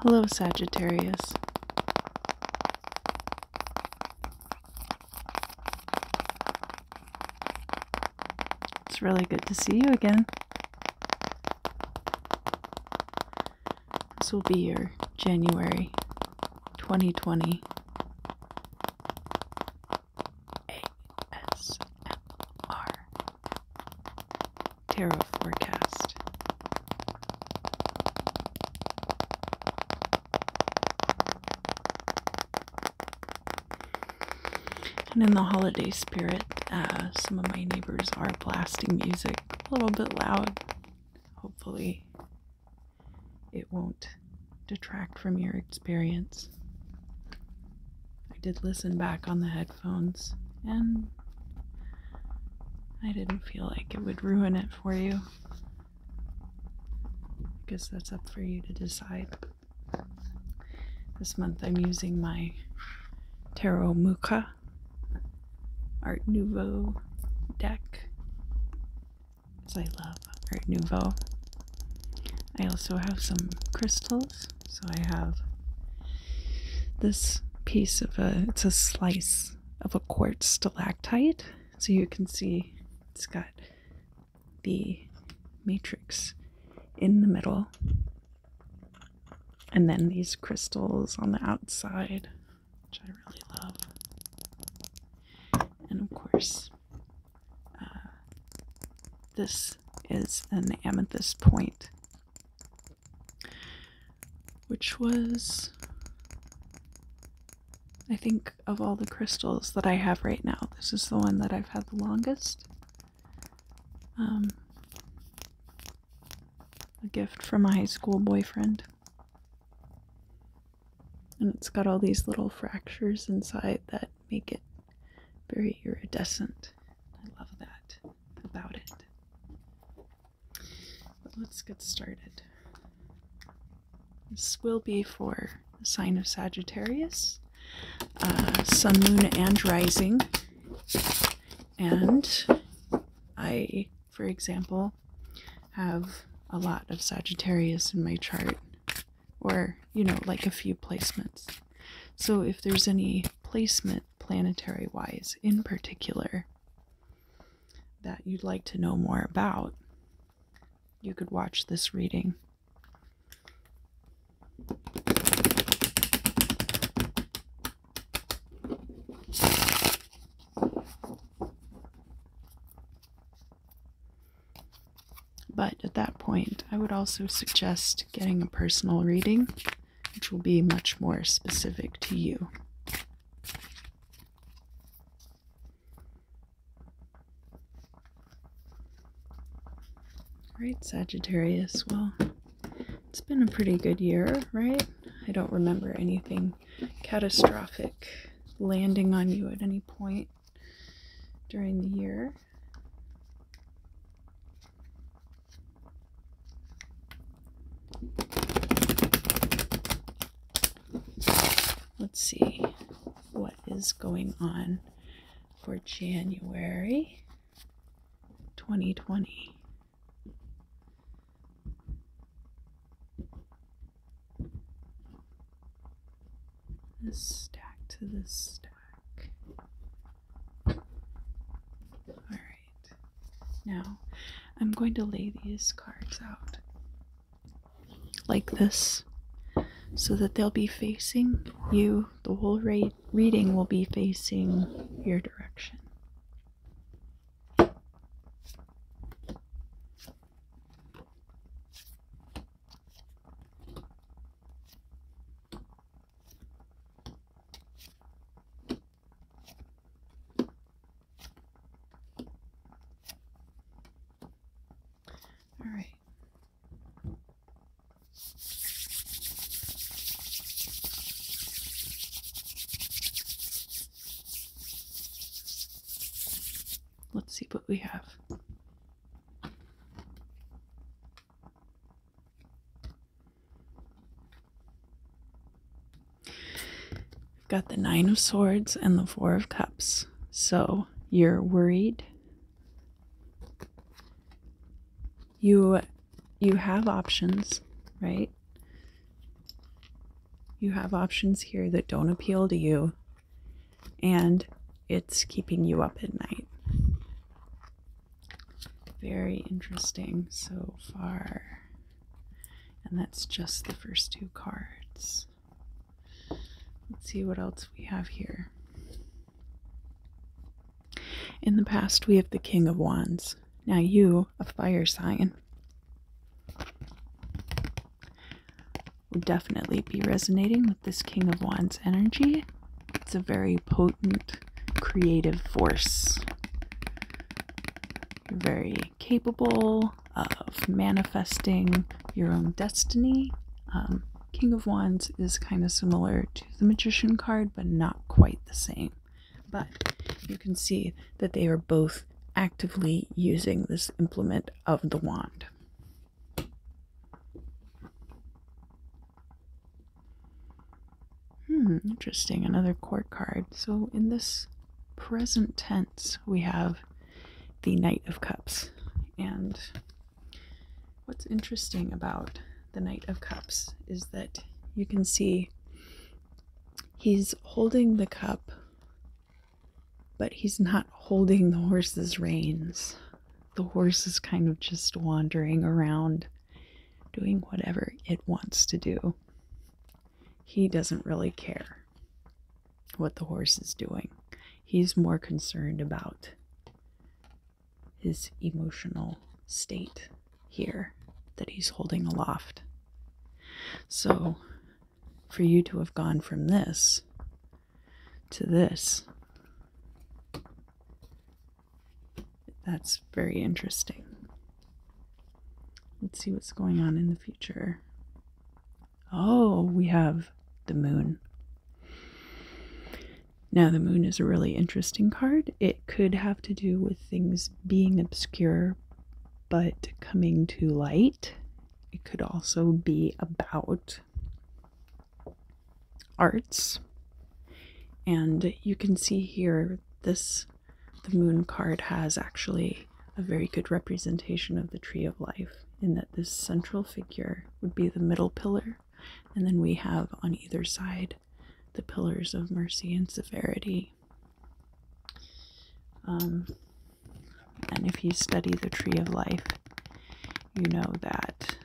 Hello, Sagittarius. It's really good to see you again. This will be your January 2020 ASMR Tarot forecast. And in the holiday spirit, uh, some of my neighbors are blasting music a little bit loud. Hopefully, it won't detract from your experience. I did listen back on the headphones, and I didn't feel like it would ruin it for you. I guess that's up for you to decide. This month I'm using my Tarot Muka Art Nouveau deck I love Art Nouveau. I also have some crystals so I have this piece of a it's a slice of a quartz stalactite. So you can see it's got the matrix in the middle. And then these crystals on the outside, which I really love. And of course, uh, this is an amethyst point which was I think of all the crystals that I have right now, this is the one that I've had the longest. Um, a gift from a high school boyfriend. And it's got all these little fractures inside that make it very iridescent. I love that about it. But let's get started. This will be for the sign of Sagittarius, uh, Sun, Moon, and Rising. And I, for example, have a lot of Sagittarius in my chart, or you know, like a few placements. So if there's any placement planetary wise in particular that you'd like to know more about, you could watch this reading. But at that point, I would also suggest getting a personal reading which will be much more specific to you. Right, Sagittarius. Well, it's been a pretty good year, right? I don't remember anything catastrophic landing on you at any point during the year. Let's see what is going on for January 2020. This stack to the stack. All right. Now, I'm going to lay these cards out like this so that they'll be facing you. The whole reading will be facing your direction. All right. Let's see what we have. I've got the Nine of Swords and the Four of Cups. So you're worried. You you have options, right? You have options here that don't appeal to you and it's keeping you up at night. Very interesting so far. And that's just the first two cards. Let's see what else we have here. In the past, we have the King of Wands. Now, you, a fire sign, would definitely be resonating with this King of Wands energy. It's a very potent creative force. very capable of manifesting your own destiny. Um, King of Wands is kind of similar to the Magician card, but not quite the same. But you can see that they are both actively using this implement of the wand. Hmm, interesting. Another court card. So in this present tense, we have the Knight of Cups. And what's interesting about the Knight of Cups is that you can see he's holding the cup, but he's not holding the horse's reins. The horse is kind of just wandering around doing whatever it wants to do he doesn't really care what the horse is doing. He's more concerned about his emotional state here that he's holding aloft. So, for you to have gone from this to this that's very interesting. Let's see what's going on in the future. Oh, we have the moon. Now, the moon is a really interesting card. It could have to do with things being obscure but coming to light. It could also be about arts. And you can see here this the moon card has actually a very good representation of the tree of life in that this central figure would be the middle pillar, and then we have on either side the pillars of mercy and severity. Um, and if you study the tree of life, you know that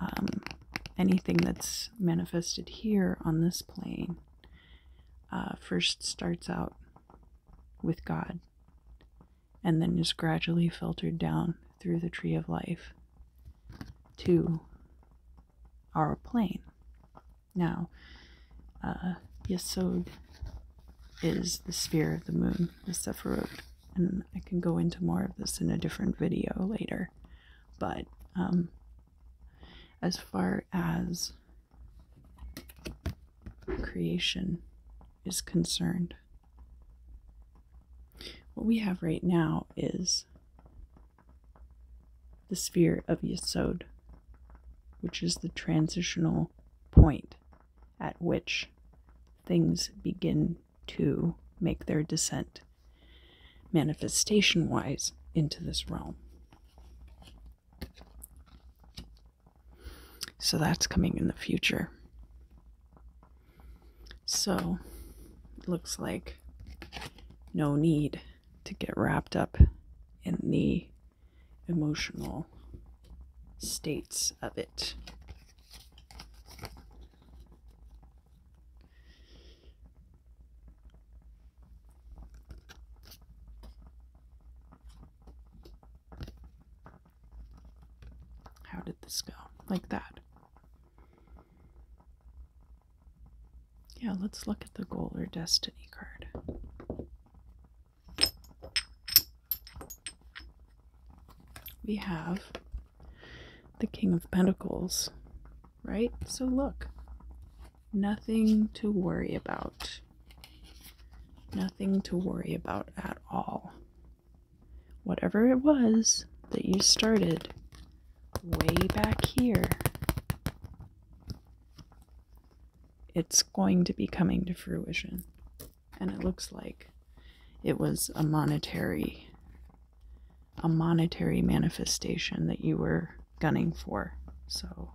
um, anything that's manifested here on this plane uh, first starts out with God and then is gradually filtered down through the tree of life to our plane. Now, uh, is the sphere of the moon, the Sephiroth, and I can go into more of this in a different video later, but um, as far as creation is concerned. What we have right now is the sphere of Yasod, which is the transitional point at which things begin to make their descent manifestation wise into this realm. So that's coming in the future. So looks like no need to get wrapped up in the emotional states of it. How did this go? Like that. Yeah, let's look at the goal or destiny card. We have the King of Pentacles right? So look, nothing to worry about. Nothing to worry about at all. Whatever it was that you started way back here, it's going to be coming to fruition. And it looks like it was a monetary a monetary manifestation that you were gunning for. So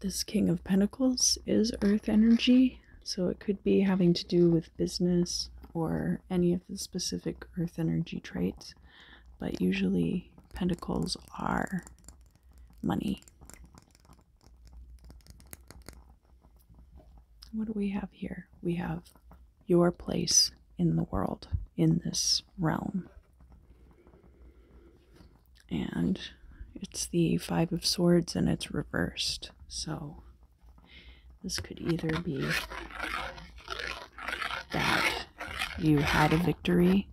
this King of Pentacles is earth energy, so it could be having to do with business or any of the specific earth energy traits, but usually pentacles are money. What do we have here? We have your place in the world, in this realm. And it's the Five of Swords and it's reversed. So this could either be that you had a victory,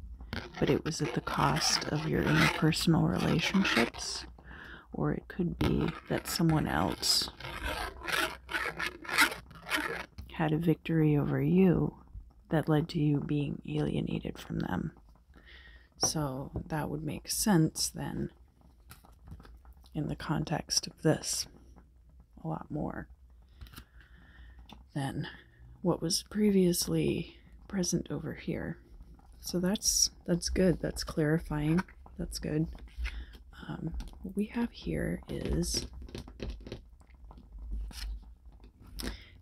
but it was at the cost of your interpersonal relationships, or it could be that someone else had a victory over you that led to you being alienated from them. So that would make sense then in the context of this a lot more than what was previously present over here. So that's that's good. That's clarifying. That's good. Um, what we have here is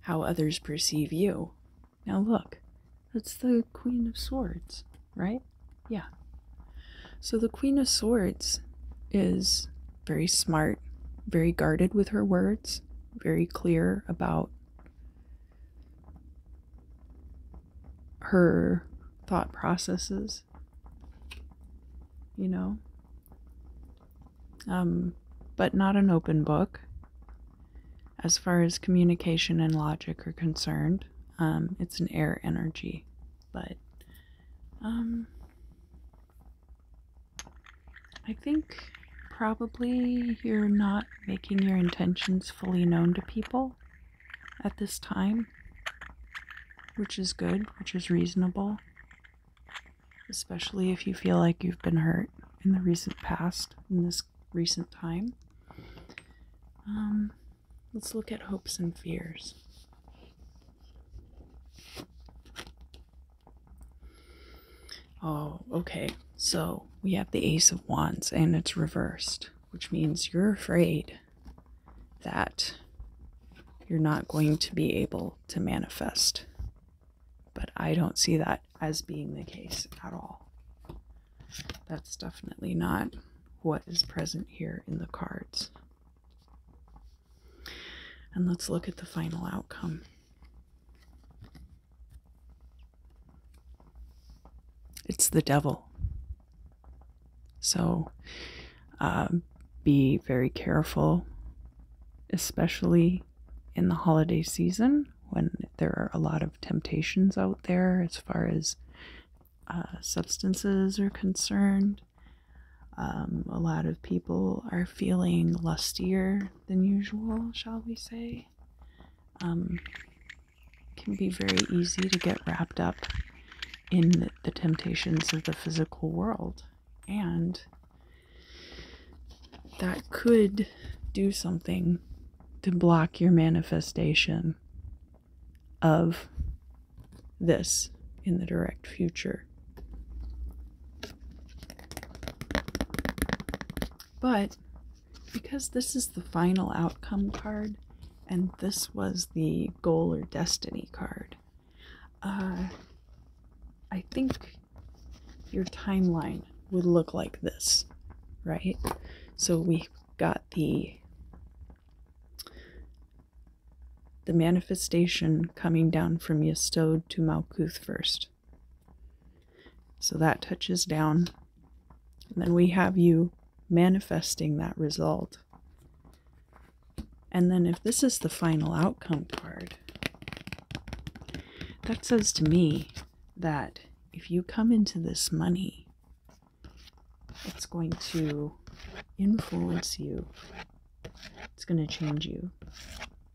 how others perceive you. Now, look, that's the Queen of Swords, right? Yeah. So, the Queen of Swords is very smart, very guarded with her words, very clear about her thought processes. You know, um, but not an open book as far as communication and logic are concerned. Um, it's an air energy, but um, I think probably you're not making your intentions fully known to people at this time, which is good, which is reasonable especially if you feel like you've been hurt in the recent past, in this recent time. Um, let's look at hopes and fears. Oh, okay. So we have the Ace of Wands and it's reversed, which means you're afraid that you're not going to be able to manifest but I don't see that as being the case at all. That's definitely not what is present here in the cards. And let's look at the final outcome. It's the devil. So uh, be very careful, especially in the holiday season when there are a lot of temptations out there as far as uh, substances are concerned. Um, a lot of people are feeling lustier than usual, shall we say. Um, can be very easy to get wrapped up in the temptations of the physical world and that could do something to block your manifestation of this in the direct future. But because this is the final outcome card and this was the goal or destiny card, uh, I think your timeline would look like this, right? So we got the the manifestation coming down from Yestod to Malkuth first. So that touches down. And then we have you manifesting that result. And then if this is the final outcome card, that says to me that if you come into this money, it's going to influence you, it's going to change you,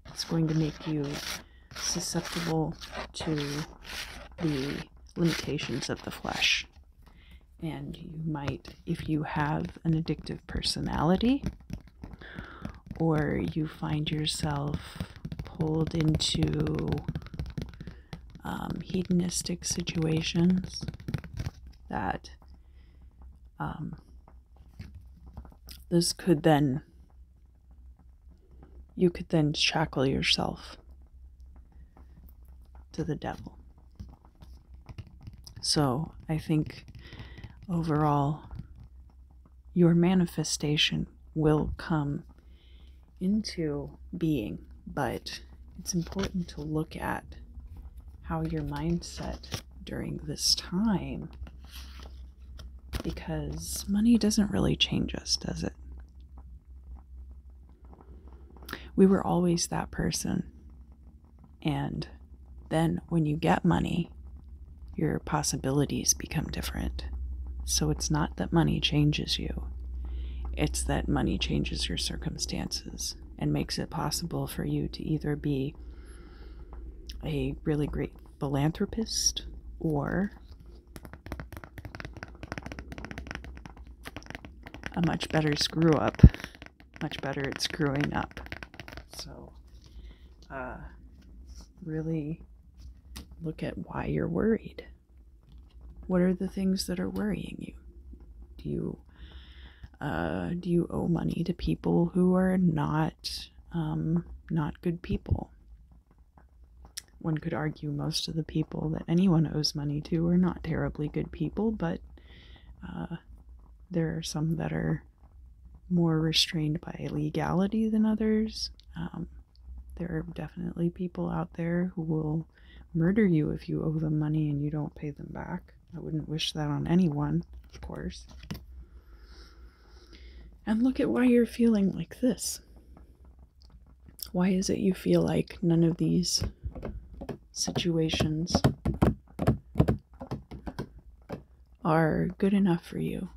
it's going to make you susceptible to the limitations of the flesh. And you might, if you have an addictive personality, or you find yourself pulled into um, hedonistic situations that um, this could then you could then shackle yourself to the devil so i think overall your manifestation will come into being, but it's important to look at how your mindset during this time because money doesn't really change us, does it? We were always that person, and then when you get money, your possibilities become different. So it's not that money changes you, it's that money changes your circumstances and makes it possible for you to either be a really great philanthropist or a much better screw up, much better at screwing up. So, uh, really look at why you're worried. What are the things that are worrying you? Do you uh, do you owe money to people who are not um, not good people? One could argue most of the people that anyone owes money to are not terribly good people, but uh, there are some that are more restrained by legality than others. Um, there are definitely people out there who will murder you if you owe them money and you don't pay them back. I wouldn't wish that on anyone, of course. And look at why you're feeling like this. Why is it you feel like none of these situations are good enough for you?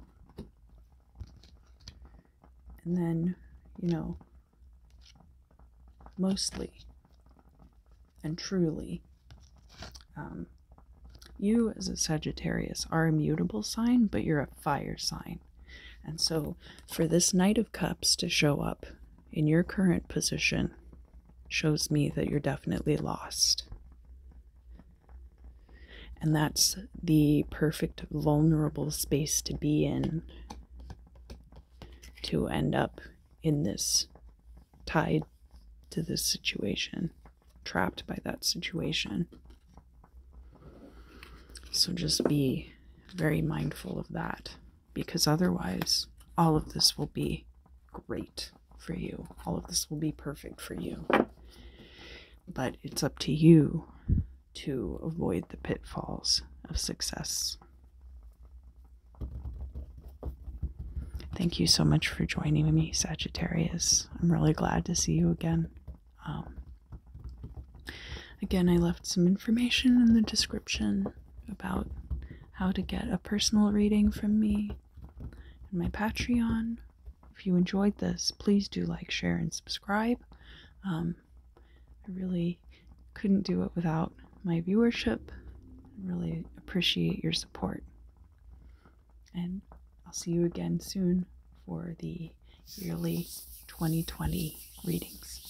And then, you know, mostly and truly, um, you as a Sagittarius are a mutable sign, but you're a fire sign. And so, for this Knight of Cups to show up in your current position shows me that you're definitely lost. And that's the perfect vulnerable space to be in to end up in this tied to this situation, trapped by that situation. So just be very mindful of that because otherwise, all of this will be great for you, all of this will be perfect for you but it's up to you to avoid the pitfalls of success. Thank you so much for joining me, Sagittarius. I'm really glad to see you again. Um, again, I left some information in the description about how to get a personal reading from me and my Patreon. If you enjoyed this, please do like, share, and subscribe. Um, I really couldn't do it without my viewership. I really appreciate your support. And I'll see you again soon for the yearly 2020 readings.